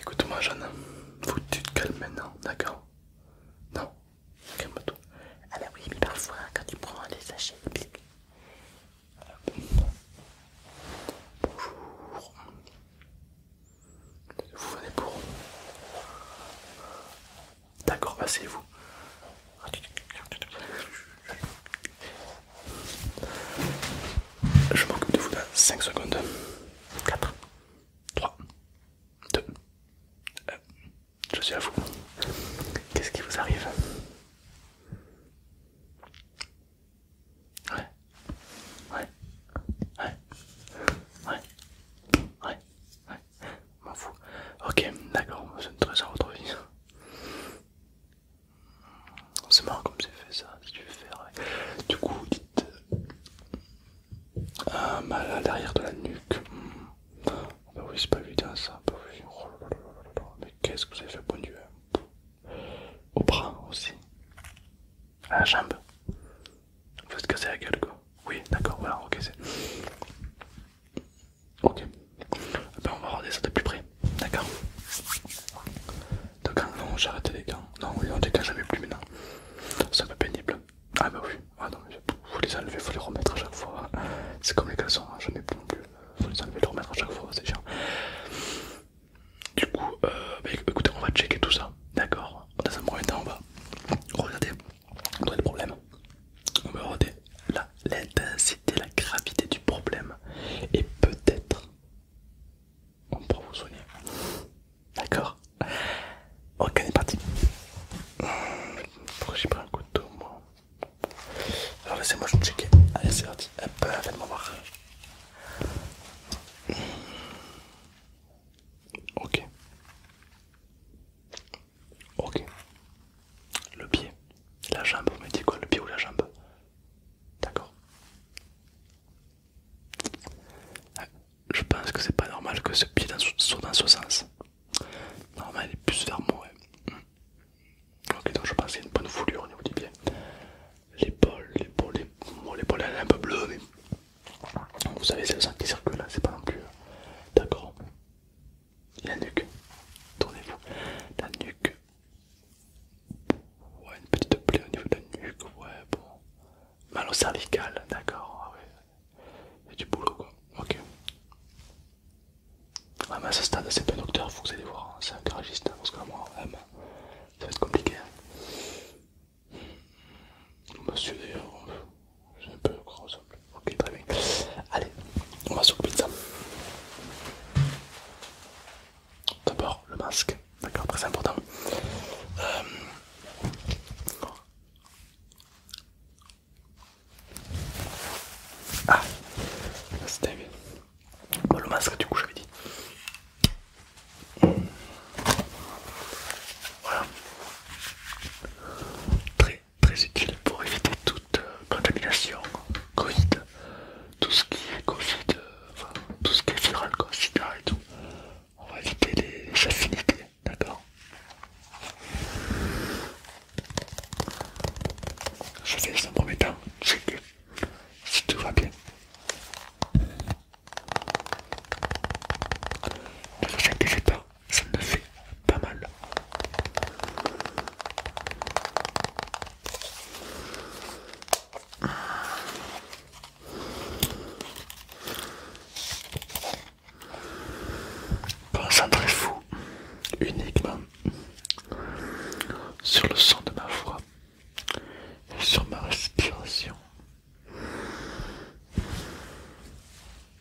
Écoute-moi, Jeanne, faut que tu te calmes maintenant, d'accord? Non, calme-toi. Ah, bah oui, mais parfois, quand tu prends les sachets, Bonjour. Vous venez pour. D'accord, passez vous je m'occupe de vous dans 5 secondes. 4, 3, 2, 1. Je suis à vous. Qu'est-ce qui vous arrive Ouais. Ouais. Ouais. Ouais. Ouais. Ouais. M'en fous. Ok, d'accord, c'est une très vie retrouver. C'est marrant comme c'est fait ça, si tu veux faire. Du coup, dites euh, un mal à l'arrière de la nuque. Ah bah oui, c'est pas évident ça. Bah Mais qu'est-ce que vous avez fait, bon hein? Dieu Au bras aussi. À la jambe. Vous êtes cassé la gueule quoi Oui, d'accord, voilà, ok, c'est. Ok. Eh ben, on va regarder ça de plus près. D'accord. Donc, non, j'ai arrêté les gants. Non, oui, ont des gants, jamais plus maintenant. C'est un peu pénible. Ah bah oui. Ah non, faut les enlever, faut les remettre à chaque fois. C'est comme les caleçons, hein, Jamais ai plus non Faut les enlever, les remettre à chaque fois, c'est chiant. Du coup, euh, bah, écoutez, on va checker tout ça. D'accord. Dans un premier temps, on va regarder. On a des problèmes. On va regarder l'intensité, la, gravité du problème et peut-être on pourra vous soigner. D'accord Ok, on est parti. Pourquoi j'ai pris un couteau moi Alors laissez-moi je checker. Allez, c'est parti. peu, faites-moi voir. Ok. Ok. Le pied, la jambe, Vous me dit quoi Le pied ou la jambe D'accord. Ah, je pense que c'est pas normal que ce pied soit dans ce sens. Normal, il est plus vers moi. Ouais. Ok, donc je pense qu'il y a une bonne foulure au niveau du pied. L'épaule, l'épaule, l'épaule, elle est un peu bleue, mais vous savez, c'est le sang qui circule, là, hein, c'est pas non plus. Euh, d'accord la nuque. Tournez-vous. La nuque. Ouais, une petite plaie au niveau de la nuque. Ouais, bon. Mal au cervical, d'accord. Ah ouais. Il du boulot quoi. Ok. Ah, mais à ce stade, c'est pas un docteur, faut que vous allez voir. Hein, c'est un garagiste, hein, parce que moi, ça va être compliqué. Hein. Monsieur d'ailleurs, j'ai un peu gros, Ok, très bien. Allez, on va sur pizza. D'abord, le masque, d'accord, très important. Euh. Ah, c'était bien. Bon, le masque, du coup, j'avais dit. Voilà. Très très utile pour éviter toute euh, contamination Covid, tout ce qui est Covid, euh, tout ce qui est viral, Covid et tout. On va éviter les affinités, d'accord Je fais un premier temps que si tout va bien. Ne vous inquiétez pas, ça ne fait pas mal. Concentrez-vous uniquement sur le son de ma voix et sur ma respiration.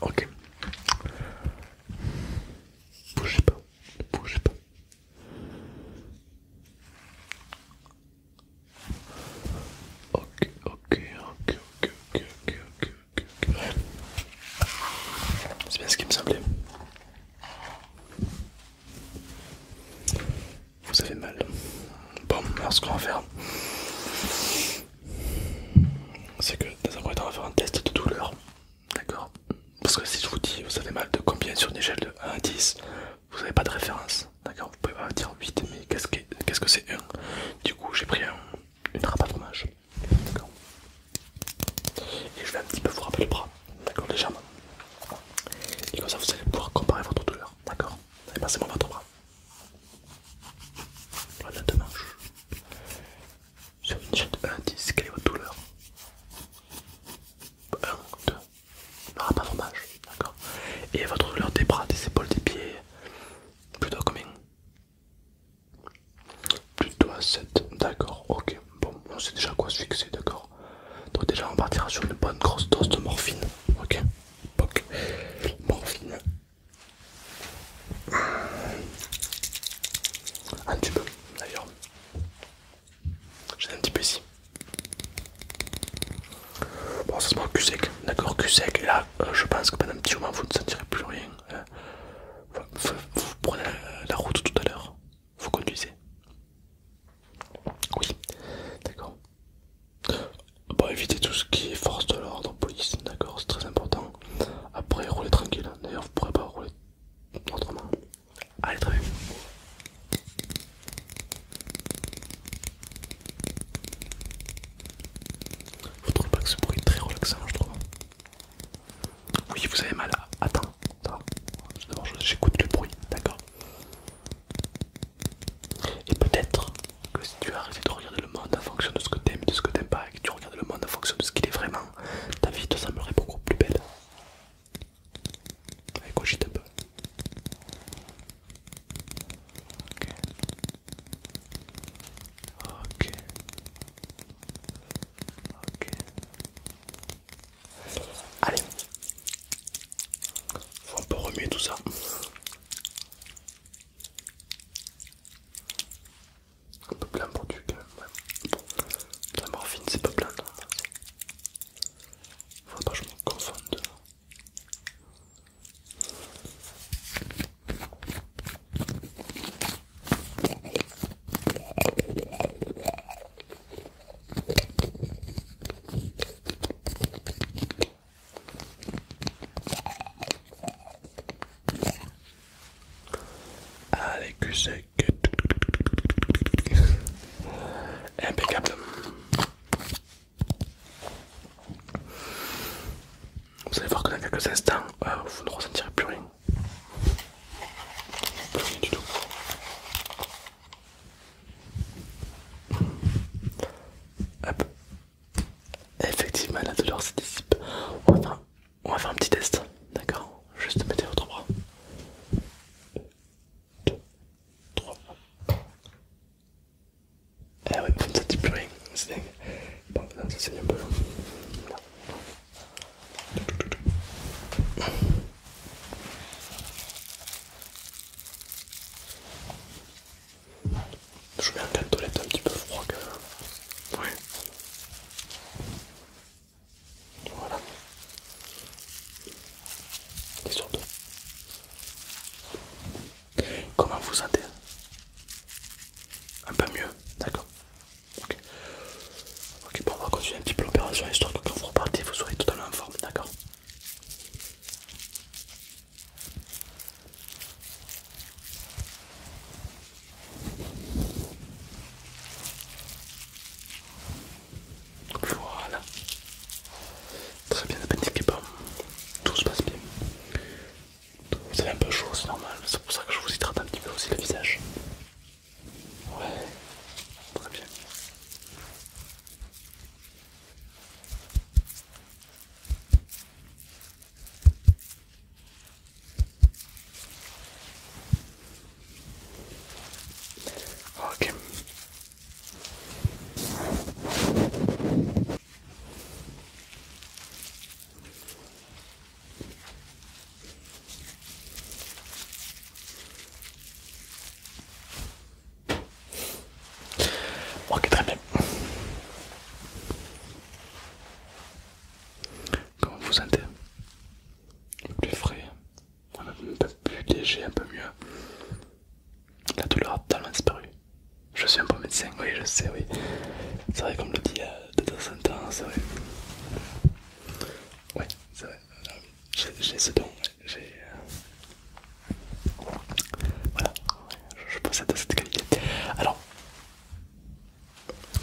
Ok. bougez pas, bougez pas. ok, ok, ok, ok, ok, ok, ok. C'est bien ce qui me semblait. Vous avez mal. Bon, alors ce qu'on va faire, c'est que dans un premier on va faire un test de douleur. D'accord Parce que si je vous dis, vous avez mal de combien sur une échelle de 1 à 10, vous n'avez pas de référence. D'accord Vous pouvez pas dire 8, mais qu'est-ce que c'est 1 Du coup, j'ai pris une râpe à fromage. D'accord Et je vais un petit peu vous rappeler le bras. D'accord Légèrement. Et comme ça, vous allez pouvoir comparer votre douleur. D'accord et passez-moi votre bras. Voilà deux Sur une chaîne de 1 à 10, quelle est votre douleur 1, 2. Ah, pas dommage, d'accord. Et votre douleur des bras, des épaules, des pieds Plutôt combien Plutôt à 7, d'accord, ok. Bon, on sait déjà à quoi se fixer, d'accord donc déjà on partira sur une bonne grosse dose de morphine. Ok Morphine. Un tube, d'ailleurs. J'ai un petit peu ici. Bon ça se cul sec, d'accord cul sec là euh, je pense que pendant un petit moment vous ne sentirez plus rien. Hein. vous, prenez la route tout à l'heure, vous conduisez. Oui, d'accord. Bon, bah, évitez tout ce qui est force de l'ordre, police, d'accord, c'est très important. Après, roulez tranquille. Hein. D'ailleurs, vous pourrez pas rouler autrement. Allez, très bien. Vous trouvez pas que ce bruit est très relaxant, je trouve hein. Oui, vous avez mal. Attends, attends. D'abord, j'écoute le bruit, d'accord et peut-être que si tu arrêtes de regarder le monde en fonction de ce que t'aimes et de ce que t'aimes pas, et que tu regardes le monde en fonction de ce qu'il est vraiment, ta vie te semblerait beaucoup plus belle. un peu. Ok. Ok. Ok. Allez, faut un peu remuer tout ça. Un peu plein pour du quand même. La morphine, c'est pas plein, Faut pas que je me confonde. Allez, que c'est que... Impeccable. Vous allez voir que dans quelques instants, euh, vous ne ressentirez plus rien. Plus rien du tout. Hop. Effectivement, la douleur se dissipe. On va faire, un petit test, d'accord Juste mettez votre bras. 2, 3. Eh oui, vous ne sentez plus rien, c'est dingue. Bon, là, ça saigne un peu. Je mets un cale toilette un petit peu froid que Voilà. Et surtout. Comment vous sentez Un peu mieux, d'accord. Ok, bon, on va continuer un petit peu l'opération histoire que quand vous repartez, vous soyez totalement en forme, d'accord Voilà. Très bien, la paniquez pas. Tout se passe bien. Vous avez un peu chaud, c'est normal. C'est pour ça que je vous hydrate un petit peu aussi le visage. Ouais, Ok, très bien. Comment vous sentez Plus frais, un peu plus léger, un peu mieux. La douleur a totalement disparu. Je suis un bon médecin, oui, je sais, oui. C'est vrai, comme le dit euh, de temps en temps, c'est vrai. Oui c'est vrai. J'ai ce don, j'ai. Euh, voilà, je, possède cette qualité. Alors,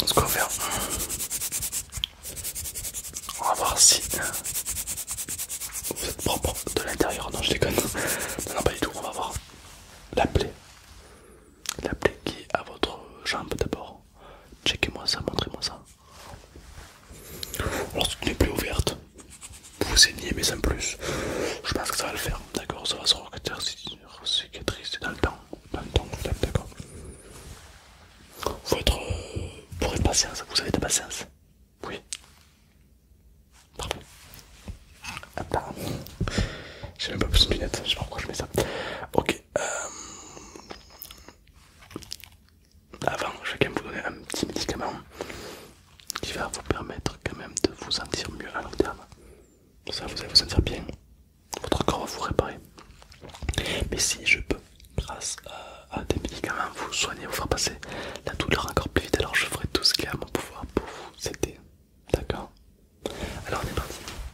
ce qu'on va faire, on va voir si euh, vous êtes propre de l'intérieur. Non, je déconne. Non, non, pas du tout. On va voir la plaie, la plaie qui est à votre jambe d'abord. Checkez-moi ça, montrez-moi ça. Alors, si tu n'es plus ouverte, vous saignez, mais sans plus. Je pense que ça va le faire, d'accord Ça va se cicatrice dans le temps. Dans le temps, d'accord Faut être. Euh, pour être patience, vous avez de la patience Oui. Parfait. Attends. J'ai même pas plus de lunettes, je sais pas pourquoi je mets ça. Ok, avant, euh, ah, je vais quand même vous donner un petit médicament qui va vous permettre quand même de vous sentir mieux à long terme. Ça, vous allez vous sentir bien. Votre corps va vous réparer. Mais si je peux, grâce à, à des médicaments, vous soigner, vous faire passer la douleur encore plus vite, alors je ferai tout ce qu'il y a à mon pouvoir pour vous aider. D'accord Alors on est parti.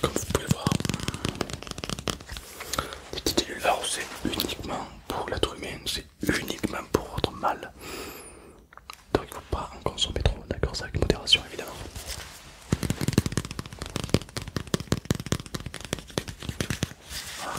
Comme vous pouvez le voir, les petites cellules c'est uniquement pour l'être humain, c'est uniquement pour votre mal. Donc il ne faut pas en consommer trop, d'accord ça avec modération évidemment. Ah,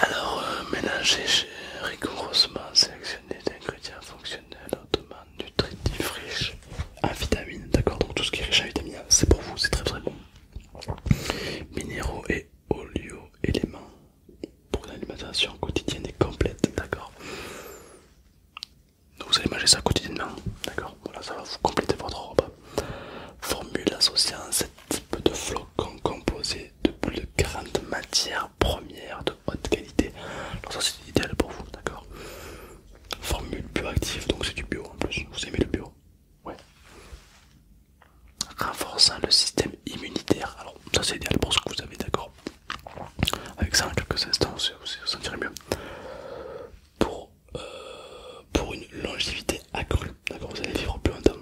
Alors, euh, mélanger mélanger rigoureusement sélectionner des ingrédients fonctionnels hautement nutritifs riches en vitamines. D'accord, donc tout ce qui est riche en vitamines, c'est pour vous, c'est très très bon. Minéraux et olio-éléments pour une alimentation quotidienne et complète. D'accord. Donc vous allez manger ça quotidiennement, d'accord Voilà, ça va vous compléter votre repas. Formule associant ce type de flot composé de plus de matières premières de haute qualité. Donc ça c'est idéal pour vous, d'accord Formule bioactive, donc c'est du bio en plus. Vous aimez le bio Ouais. Renforçant le système immunitaire. Alors ça c'est idéal pour ce que vous avez, d'accord Avec ça en quelques instants, vous vous sentirez mieux. Pour, euh, pour une longévité accrue, d'accord Vous allez vivre plus longtemps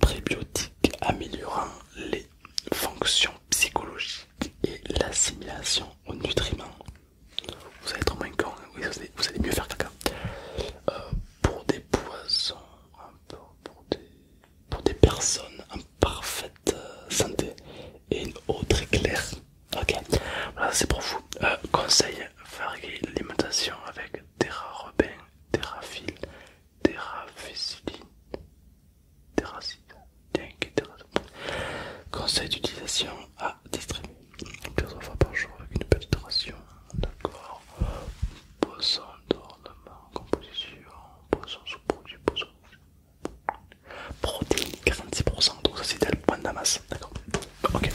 prébiotiques améliorant les fonctions psychologiques et l'assimilation aux nutriments. Vous allez être moins con, hein. vous, allez, mieux faire caca. Euh, pour des poissons, pour, des, personnes en parfaite euh, santé et une autre très Ok, voilà c'est pour vous. Euh, conseil varier l'alimentation avec robin, Terra Robin, Terrafil, Terraféciline, terra Conseil d'utilisation à distribuer plusieurs fois par jour avec une petite ration. D'accord. Poisson d'ornement, composition, poisson sous-produit, poisson. Protéines 46%, donc ça c'est point de la masse. D'accord. Ok.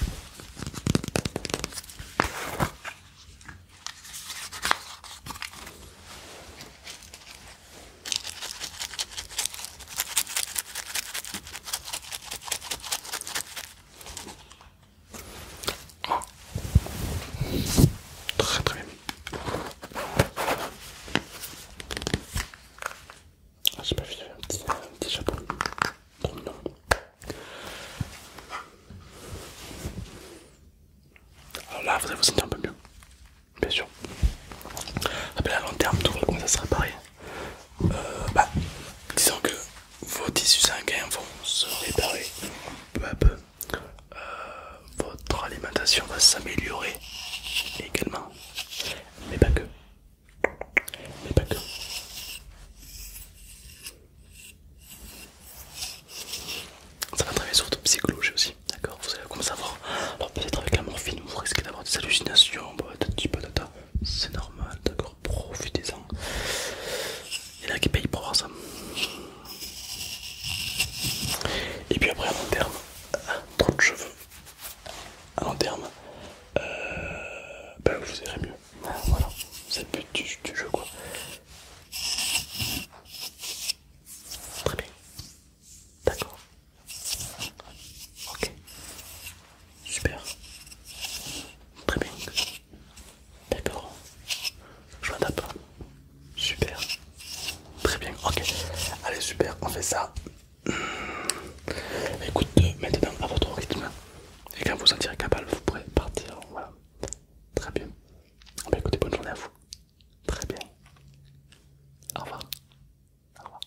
Très très bien. Ah, J'ai pas vu un petit, un petit chapeau trop mignon. Alors là, vous allez vous sentir un peu mieux, bien sûr. Après, ah, à long terme, tout va commencer à se réparer. Euh, bah, disons que vos tissus sanguins vont se réparer peu à peu. Euh, votre alimentation va s'améliorer également, mais pas que mais pas Ça va travailler sur votre psychologie aussi, d'accord Vous allez commencer à voir. Alors, peut-être avec la morphine, vous risquez d'avoir des hallucinations, bah, bah C'est normal, d'accord Profitez-en. Il y en a qui payent pour avoir ça. Et puis après, à long terme, euh, trop de cheveux. À long terme, euh, bah, vous irez mieux. Voilà, c'est le but du, jeu quoi. Très bien. D'accord. Ok. Super. Très bien. D'accord. Je m'adapte. Super. Très bien. Ok. Allez, super. On fait ça. Écoute euh, maintenant à votre rythme et quand vous vous sentirez capable, vous pourrez partir. Voilà, très bien. Ah ben, bonne journée à vous. Très bien. Au revoir. Au revoir.